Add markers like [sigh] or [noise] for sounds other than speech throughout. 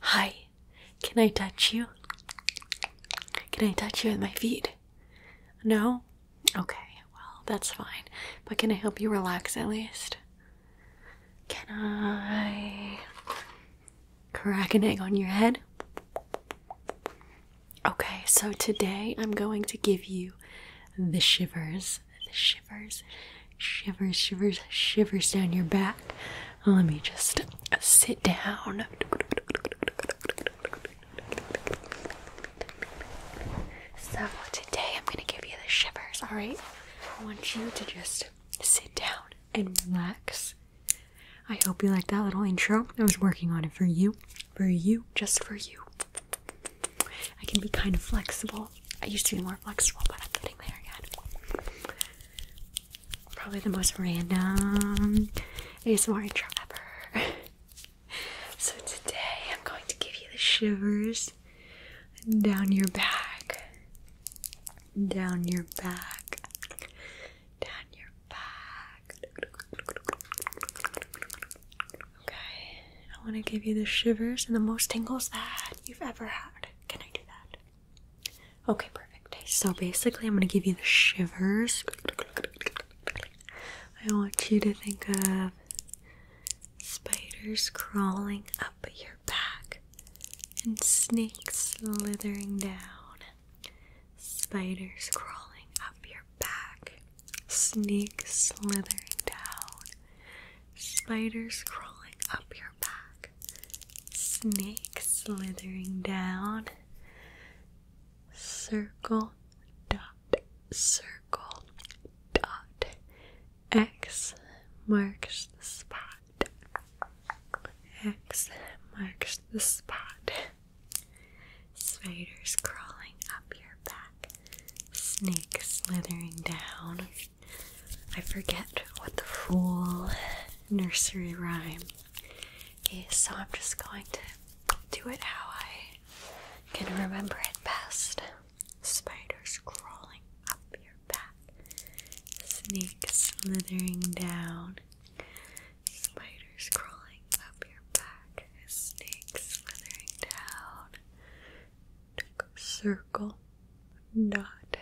Hi, can I touch you? Can I touch you with my feet? No? Okay, well, that's fine. But can I help you relax at least? Can I crack an egg on your head? Okay, so today I'm going to give you the shivers. The shivers shivers, shivers, shivers down your back. Let me just sit down. So, today I'm going to give you the shivers, alright? I want you to just sit down and relax. I hope you like that little intro. I was working on it for you, for you, just for you. I can be kind of flexible. I used to be more flexible, but I'm getting there again. Probably the most random ASMR intro ever. [laughs] so today I'm going to give you the shivers down your back. Down your back. Down your back. Okay. I want to give you the shivers and the most tingles that you've ever had. Can I do that? Okay, perfect. So basically, I'm gonna give you the shivers. I want you to think of spiders crawling up your back and snakes slithering down. Spiders crawling up your back, snakes slithering down, spiders crawling up your Snake slithering down. Circle dot circle dot X marks the spot. X marks the spot. Spiders crawling up your back. Snake slithering down. I forget what the full nursery rhyme is, so I'm just going to do it how I can remember it best. Spiders crawling up your back, snakes slithering down. Spiders crawling up your back, snakes slithering down circle dot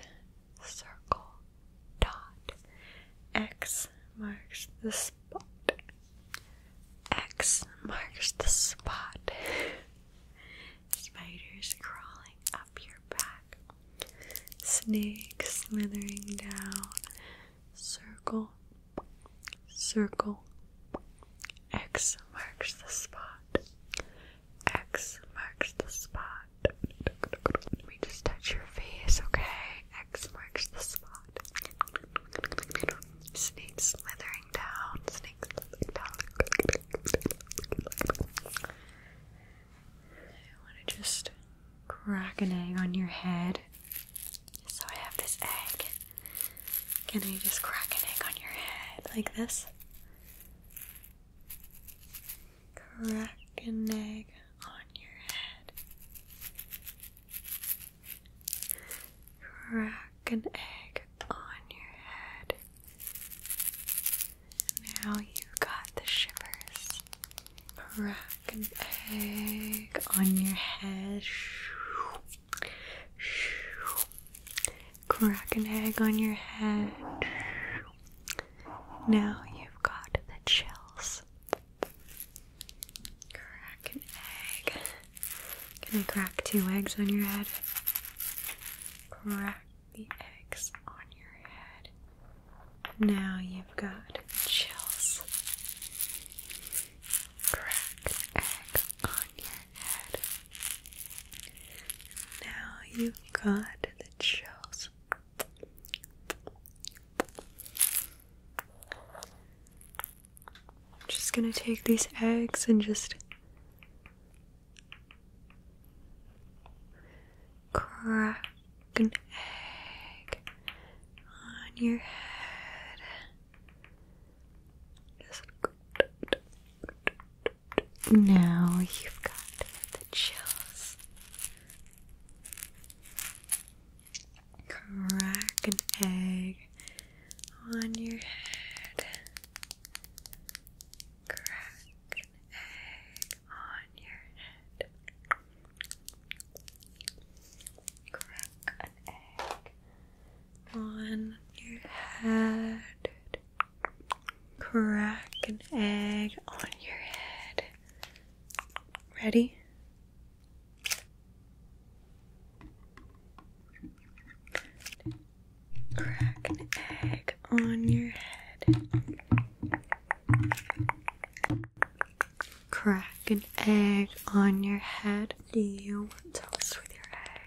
circle dot X marks the spot. X marks the spot. Spiders crawling up your back. Snakes slithering down. Circle, circle. X marks the spot. X marks the spot. Let me just touch your face, okay? X marks the spot. Snake slithering down. Snake slithering down. I want to just crack an egg on your head. So I have this egg. Can I just crack an egg on your head like this? Crack an egg on your head. Crack an egg on your head. Now you've got the shivers. Crack an egg on your head. Shoo, shoo, crack an egg on your head. Now you've got the chills. Crack an egg. Can I crack two eggs on your head? Crack the eggs on your head. Now you've got chills. Crack an egg on your now you got the chills. I'm just gonna take these eggs and just crack an egg on your head. Now you've got the chills. Crack an egg on your head. Crack an egg on your head. Crack an egg on your head. Crack an egg on your head. Ready? Crack an egg on your head. Crack an egg on your head. Do you want toast with your egg?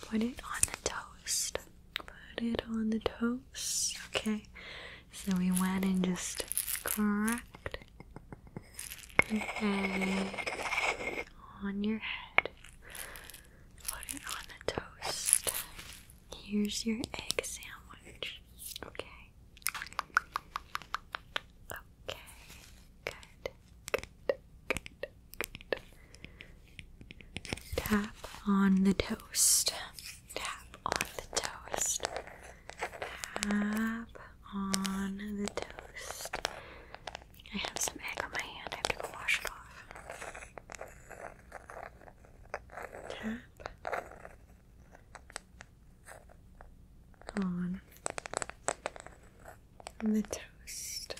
Put it on the toast. Put it on the toast. Okay. So we went and just cracked your head on your head. Put it on the toast. Here's your egg sandwich. Okay. Okay. Good. Tap on the toast. Tap on the toast. Tap on the toast. I have some egg on my hand. I have to wash it off. Tap on and the toast.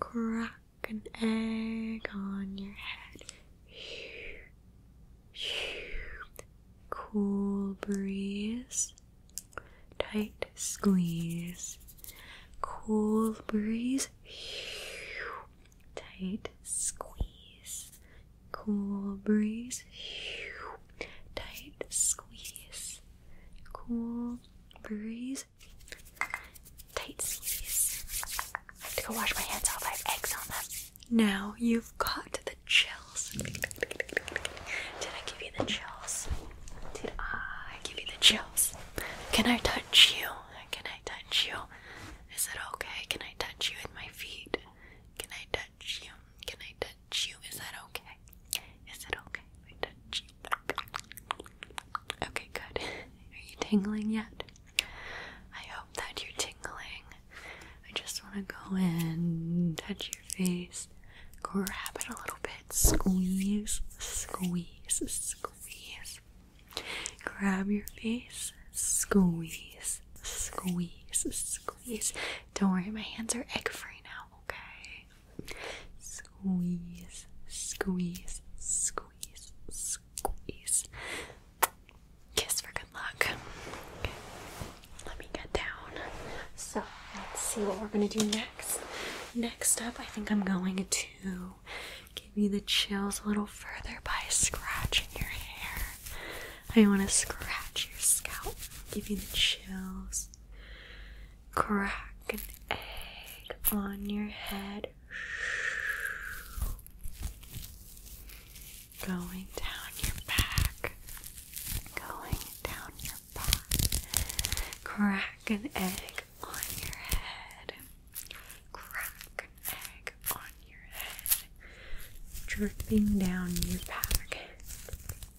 Crack an egg on your head. Cool breeze. Tight squeeze. Cool breeze. Tight squeeze. Cool breeze. Tight squeeze cool breeze. Tight squeeze. I have to go wash my hands off. I have eggs on them. Now you've got the chills. Did I give you the chills? Did I give you the chills? Can I touch you? Can I touch you? Is it okay? Can I touch you with my feet? Can I touch you? Can I touch touch you. Is that okay? Is it okay touch you? Okay, good. Are you tingling yet? I hope that you're tingling. I just want to go in, touch your face, grab it a little bit, squeeze, squeeze, squeeze. Grab your face, squeeze, squeeze, squeeze. Don't worry, my hands are egg free now, okay? Squeeze, squeeze, squeeze, squeeze. Kiss for good luck. let me get down. So let's see what we're gonna do next. Next up, I think I'm going to give you the chills a little further by scratching your hair. I want to scratch your scalp, give you the chills. Crack an egg on your head. Going down your back. Going down your back. Crack an egg on your head. Crack an egg on your head. Dripping down your back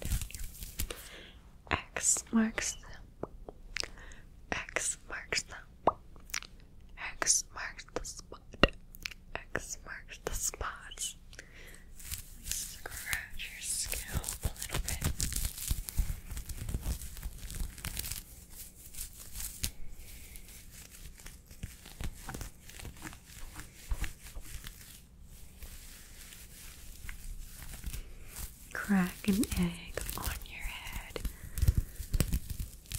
down here. X marks the X marks the X marks the spot. X marks the spots. Scratch your scalp a little bit. Crack an egg on your head,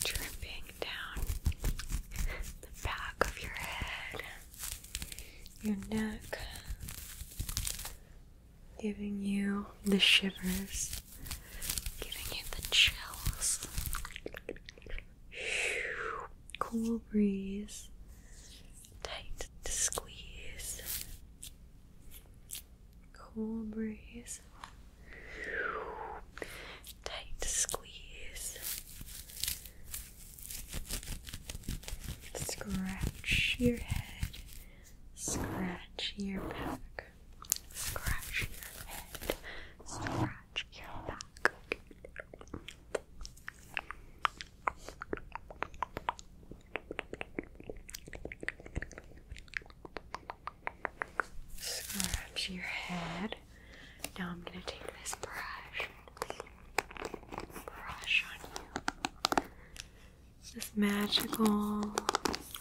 dripping down the back of your head, your neck, giving you the shivers, giving you the chills. Cool breeze tight to squeeze. Cool breeze. Tight squeeze. Scratch your head. Scratch your back. Scratch your head. Scratch your back. Scratch your head. Now I'm going to take this brush. Brush on you. This magical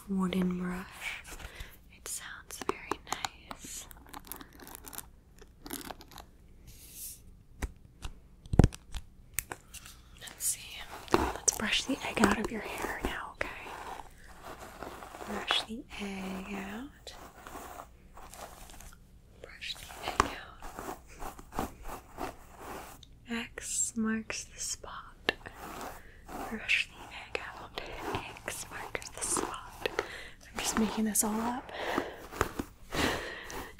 wooden brush. It sounds very nice. Let's see. Let's brush the egg out of your hair now, okay? Brush the egg out. Brush the egg out. X marks the spot. Brush the egg out. X marks the spot. I'm just making this all up.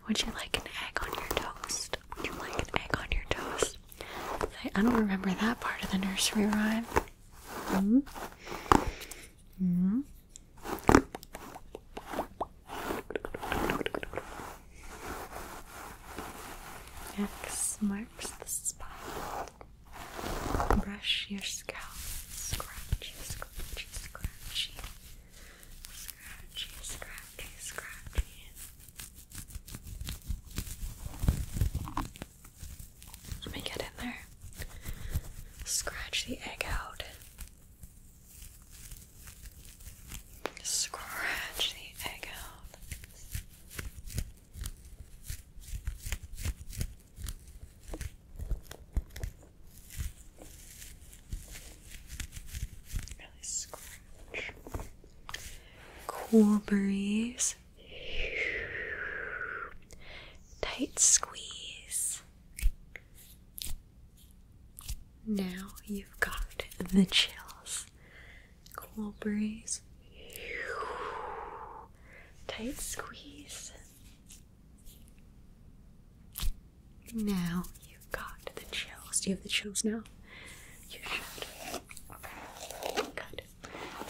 Would you like an egg on your toast? Would you like an egg on your toast? I, don't remember that part of the nursery rhyme. Mm-hmm. Mm-hmm. X marks the spot. Brush your scalp. Scratchy, scratchy, scratchy. Scratchy, scratchy, scratchy. Let me get in there. Scratch the egg out. Scratch the egg out. Cool breeze. Tight squeeze. Now you've got the chills. Cool breeze. Tight squeeze. Now you've got the chills. Do you have the chills now? You should. Good.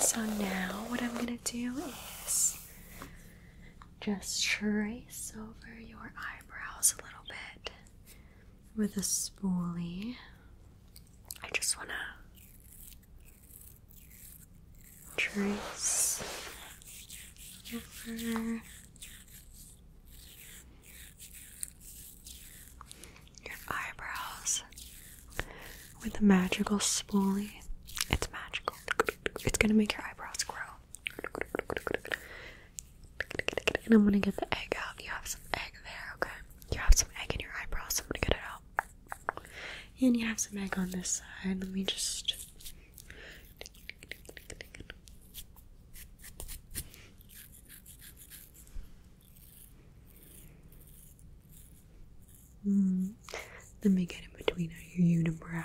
So now what I'm gonna do is just trace over your eyebrows a little bit with a spoolie. I just wanna trace over your eyebrows with a magical spoolie. It's magical. It's gonna make your eyebrows grow. And I'm gonna get the egg out. You have some egg there, okay? You have some egg in your eyebrows, I'm gonna get it out. And you have some egg on this side. Let me just Mm. Let me get in between your unibrow.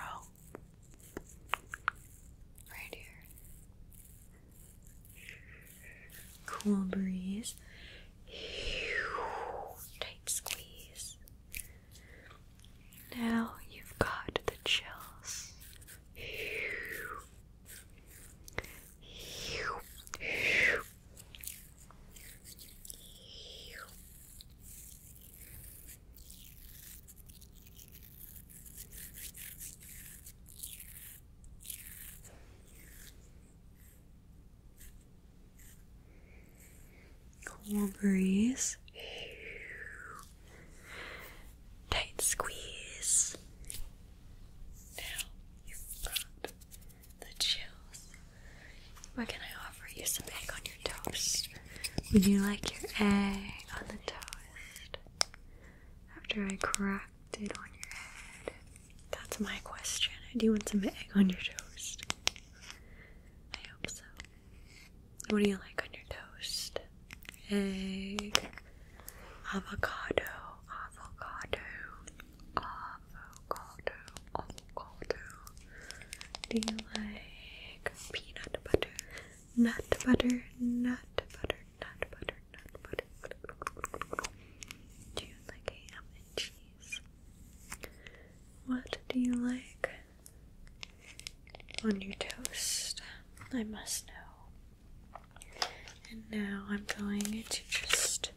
Right here. Cool breeze. Tight squeeze. Now you've got the chills cool breeze. Tight squeeze. Now you've got the chills. Where can I offer you some egg on your toast? Would you like your egg on the toast? After I cracked it on your head? That's my question. Do you want some egg on your toast? I hope so. What do you like on your toast? Egg, avocado, avocado, avocado, avocado. Do you like peanut butter, nut butter, nut butter, nut butter, nut butter? Do you like ham and cheese? What do you like? on your toast. I must know. And now I'm going to just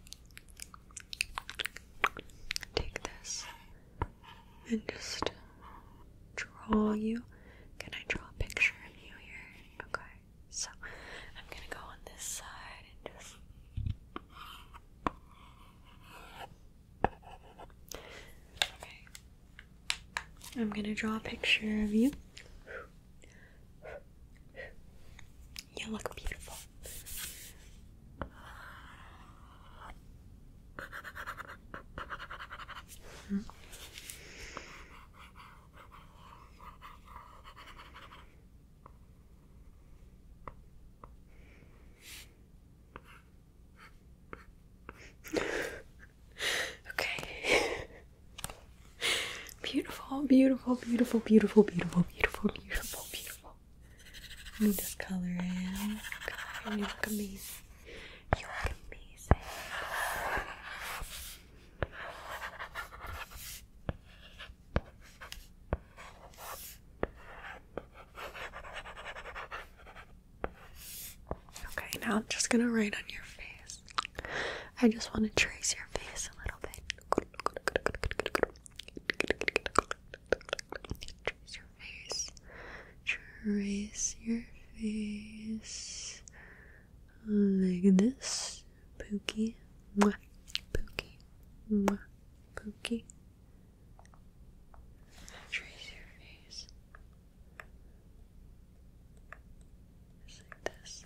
take this and just draw you. Can I draw a picture of you here? Okay, so I'm gonna go on this side and just. I'm gonna draw a picture of you. You look beautiful okay. [laughs] beautiful, beautiful, beautiful, beautiful, beautiful, beautiful, beautiful, beautiful. Let me just color in. God, you look amazing. You look amazing. Okay, now I'm just gonna write on your face. I just want to trace your face a little bit. Trace your face. Trace your face like this. Pookie. Mwah. Pookie. Mwah. Pookie. Trace your face. Just like this.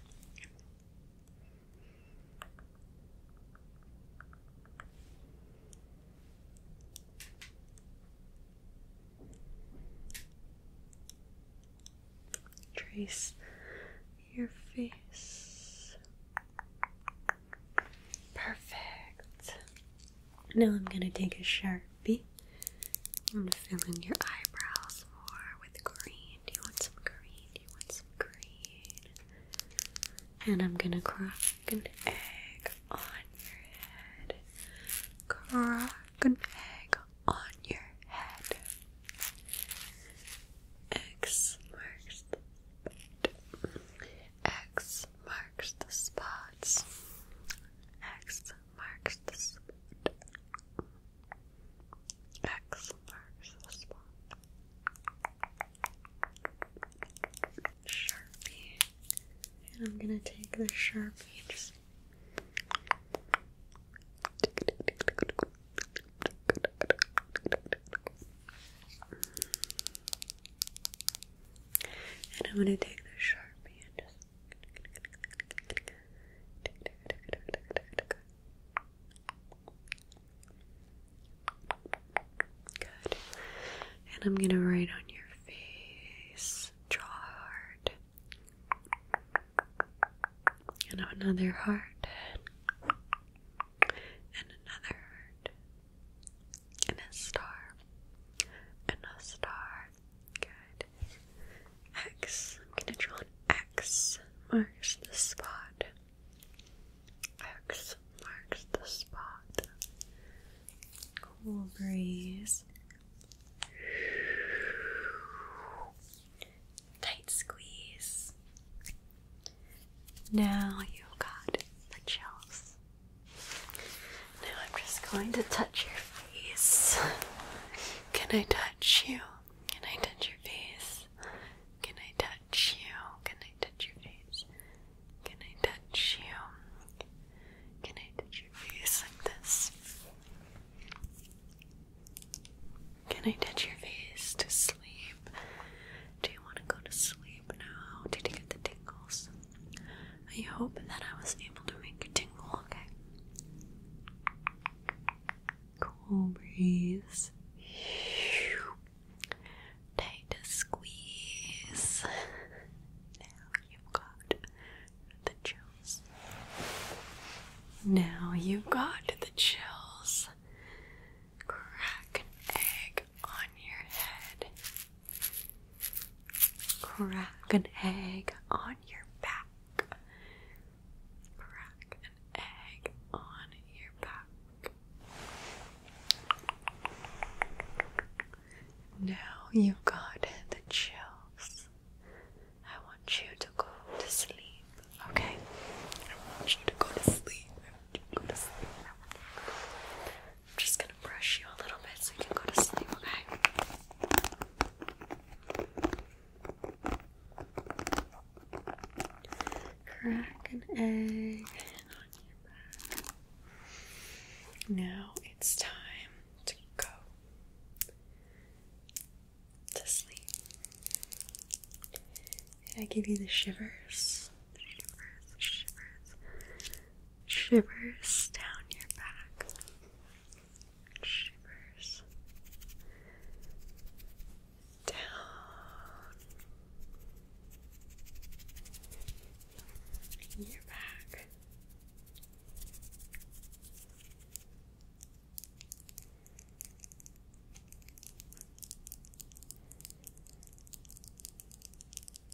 Trace your face. Perfect. Now I'm going to take a sharpie. and fill in your eyebrows more with green. Do you want some green? Do you want some green? And I'm going to crack an egg on your head. Crack an egg on your head. X marks the spot. X marks the spots. X marks the spot. X marks the spot. Sharpie. And I'm gonna take the Sharpie just and I'm gonna take the sharpie and just Good. And I'm gonna write on your face. Draw hard. And another heart. And another heart and a star, and a star. Good. X. I'm gonna draw an X. Marks the spot. X marks the spot. Cool breeze. Tight squeeze. Now you have got the chills. Now I'm just going to touch your face. Can I touch you? Can I touch your face? Can I touch you? Can I touch your face? Can I touch you? Can I touch your face like this? Can I touch your face to sleep? Do you want to go to sleep now? Did you get the tingles? I hope that I was able to make you tingle, okay? Cool breeze. Tight squeeze. [laughs] Now you've got the chills. Now you've got the chills. Crack an egg on your head. Crack an egg on your back. Crack an egg on your back. Now you've got the chills. I want you to go to sleep, okay? I want you to go to sleep. go to sleep. I want you to go to sleep. I'm just gonna brush you a little bit so you can go to sleep, okay? Crack an egg on your back. Now it's time to go to sleep. I give you the shivers? shivers, the shivers shivers down your back. Shivers down. Your back.